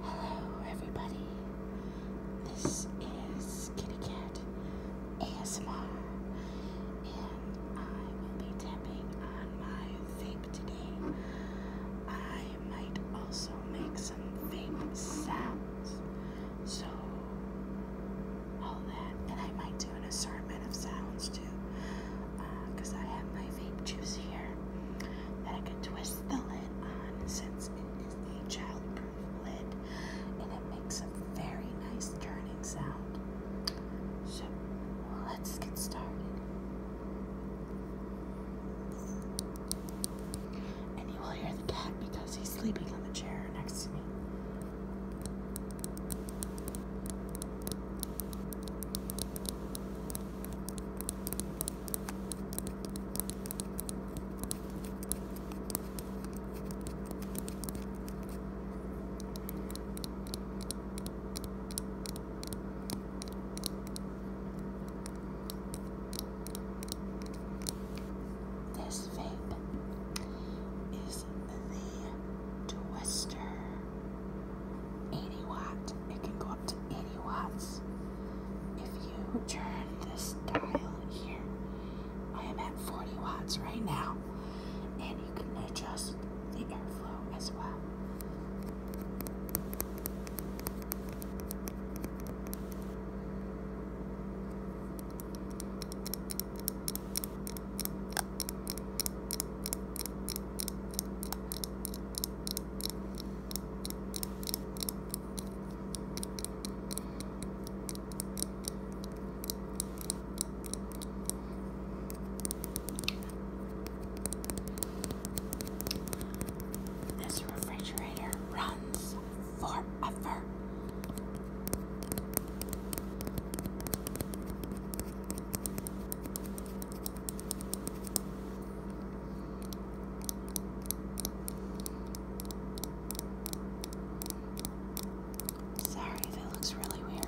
Hello, everybody. This is Kitty Cat ASMR, and I will be tapping on my vape today. I might also make some vape sounds, so all that, and I might do an assortment of sounds too because uh, I have my vape juice here that I can twist the lid on since it is a childproof lid and it makes a very nice turning sound. So let's get started. And you will hear the cat because he's sleeping on the chair next to me. This vape is the Twister. 80 watt. It can go up to 80 watts. If you turn this dial here, I am at 40 watts right now. And you can adjust the airflow as well. This refrigerator runs forever. Sorry if looks really weird.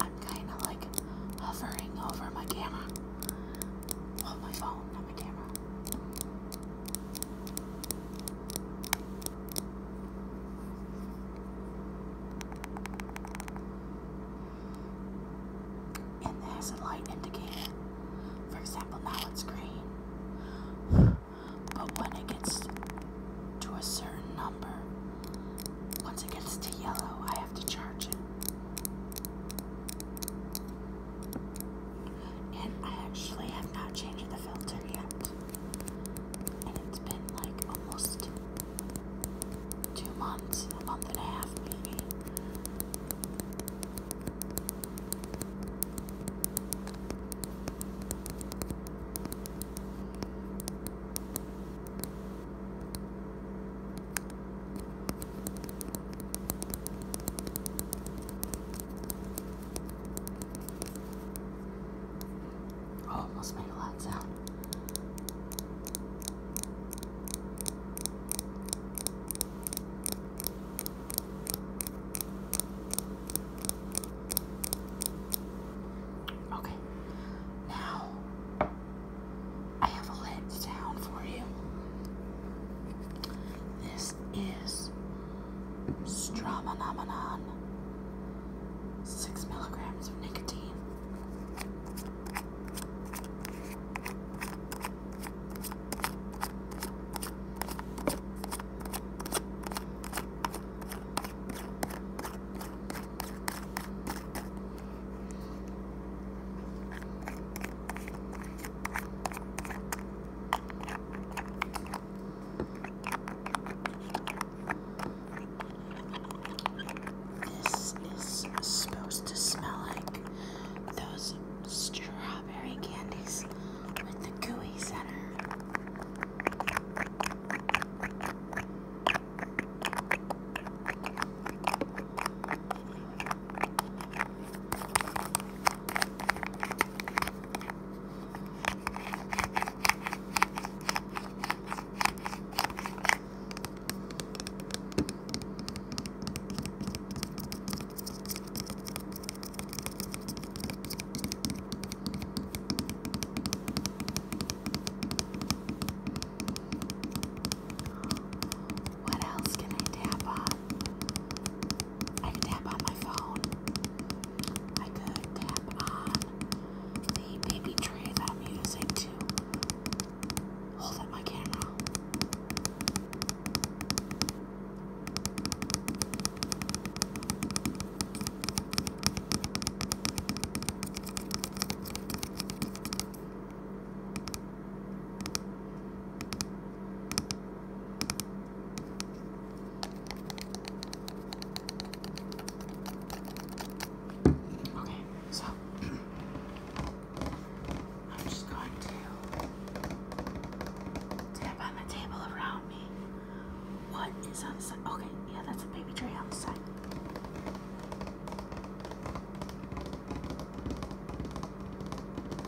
I'm kind of like hovering over my camera. Well, my phone, not my camera. And it a light indicator. For example, now it's green. But when it gets to a certain number, once it gets to yellow, I have to charge it. And I actually have not changed the filter yet. And it's been like almost two months, a month and a half, maybe. Oh, it must make a loud sound. Okay, now I have a lit sound for you. This is Stromanomenon six milligrams of nicotine. This is supposed to smell like those strawberry candies with the gooey center. What else can I tap on? I could tap on my phone. I could tap on the baby tray that I'm using to hold up my camera. Okay, so I'm just going to tap on the table around me. What is on the side? Okay, yeah, that's a baby tray on the side.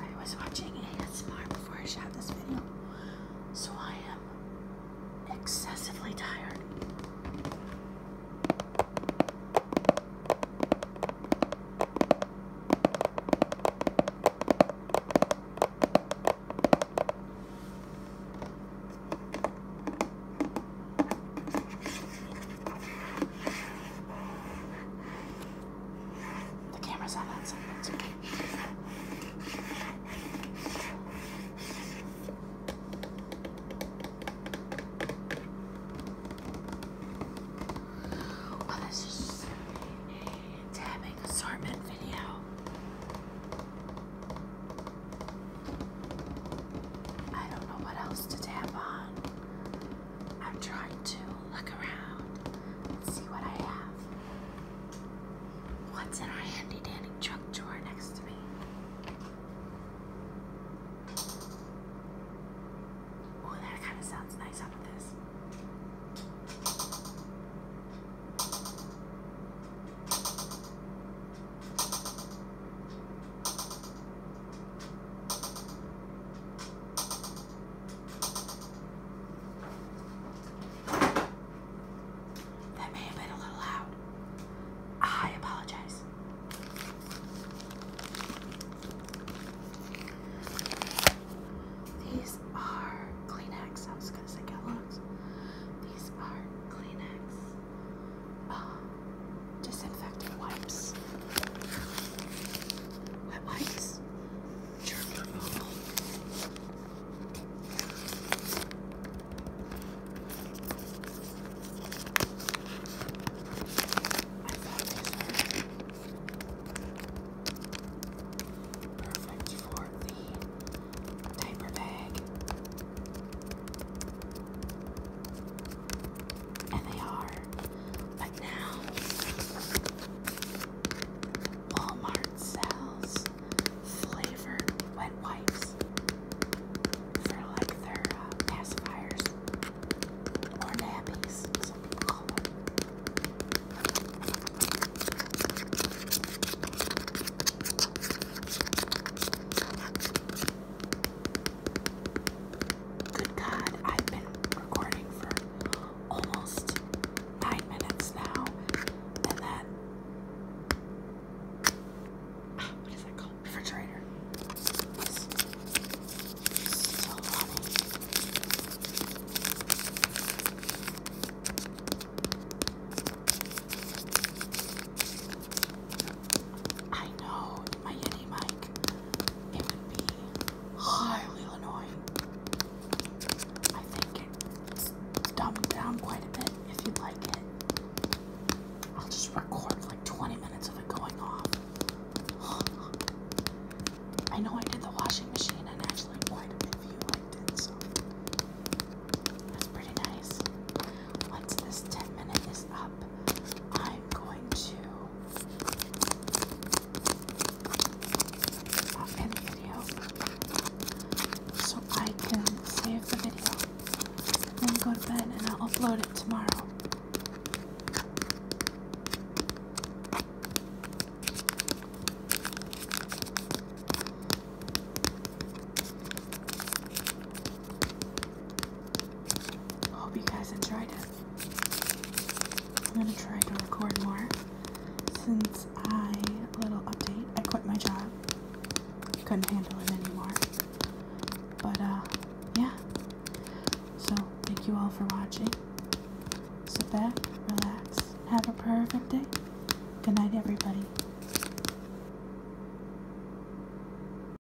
I was watching ASMR before I shot this video. So I am excessively tired. The camera's on that side, oh, this is a tabbing assortment video. I don't know what else to tap on. I'm trying to look around and see what I have. What's in our handy dandy trunk drawer next to me? Oh, that kind of sounds nice up this. That may have been a little loud. I apologize. These are Kleenex. I was going to say Kellogg's. These are Kleenex uh, disinfectant wipes. Wet wipes. Germ removal. I perfect for the diaper bag and they are. But now, Walmart sells flavored wet wipes. they like their uh, pacifiers or nappies, some Good God, I've been recording for almost nine minutes now, and that what is that called? Refrigerator. I know my Yeti mic, it would be highly annoying. I think it's dumbed down quite a bit if you like it. I'll just record like 20 minutes of it going off. I know I did the washing machine and actually quite a bit liked it, so that's pretty nice. Once this 10 minute is up, I'm going to uh, the video so I can save the video and go to bed and I'll upload it tomorrow. Hope you guys enjoyed it. I'm gonna try to record more since I, little update, I quit my job. Couldn't handle it anymore. But, uh, yeah. So, thank you all for watching. Sit back, relax, have a perfect day. Good night, everybody.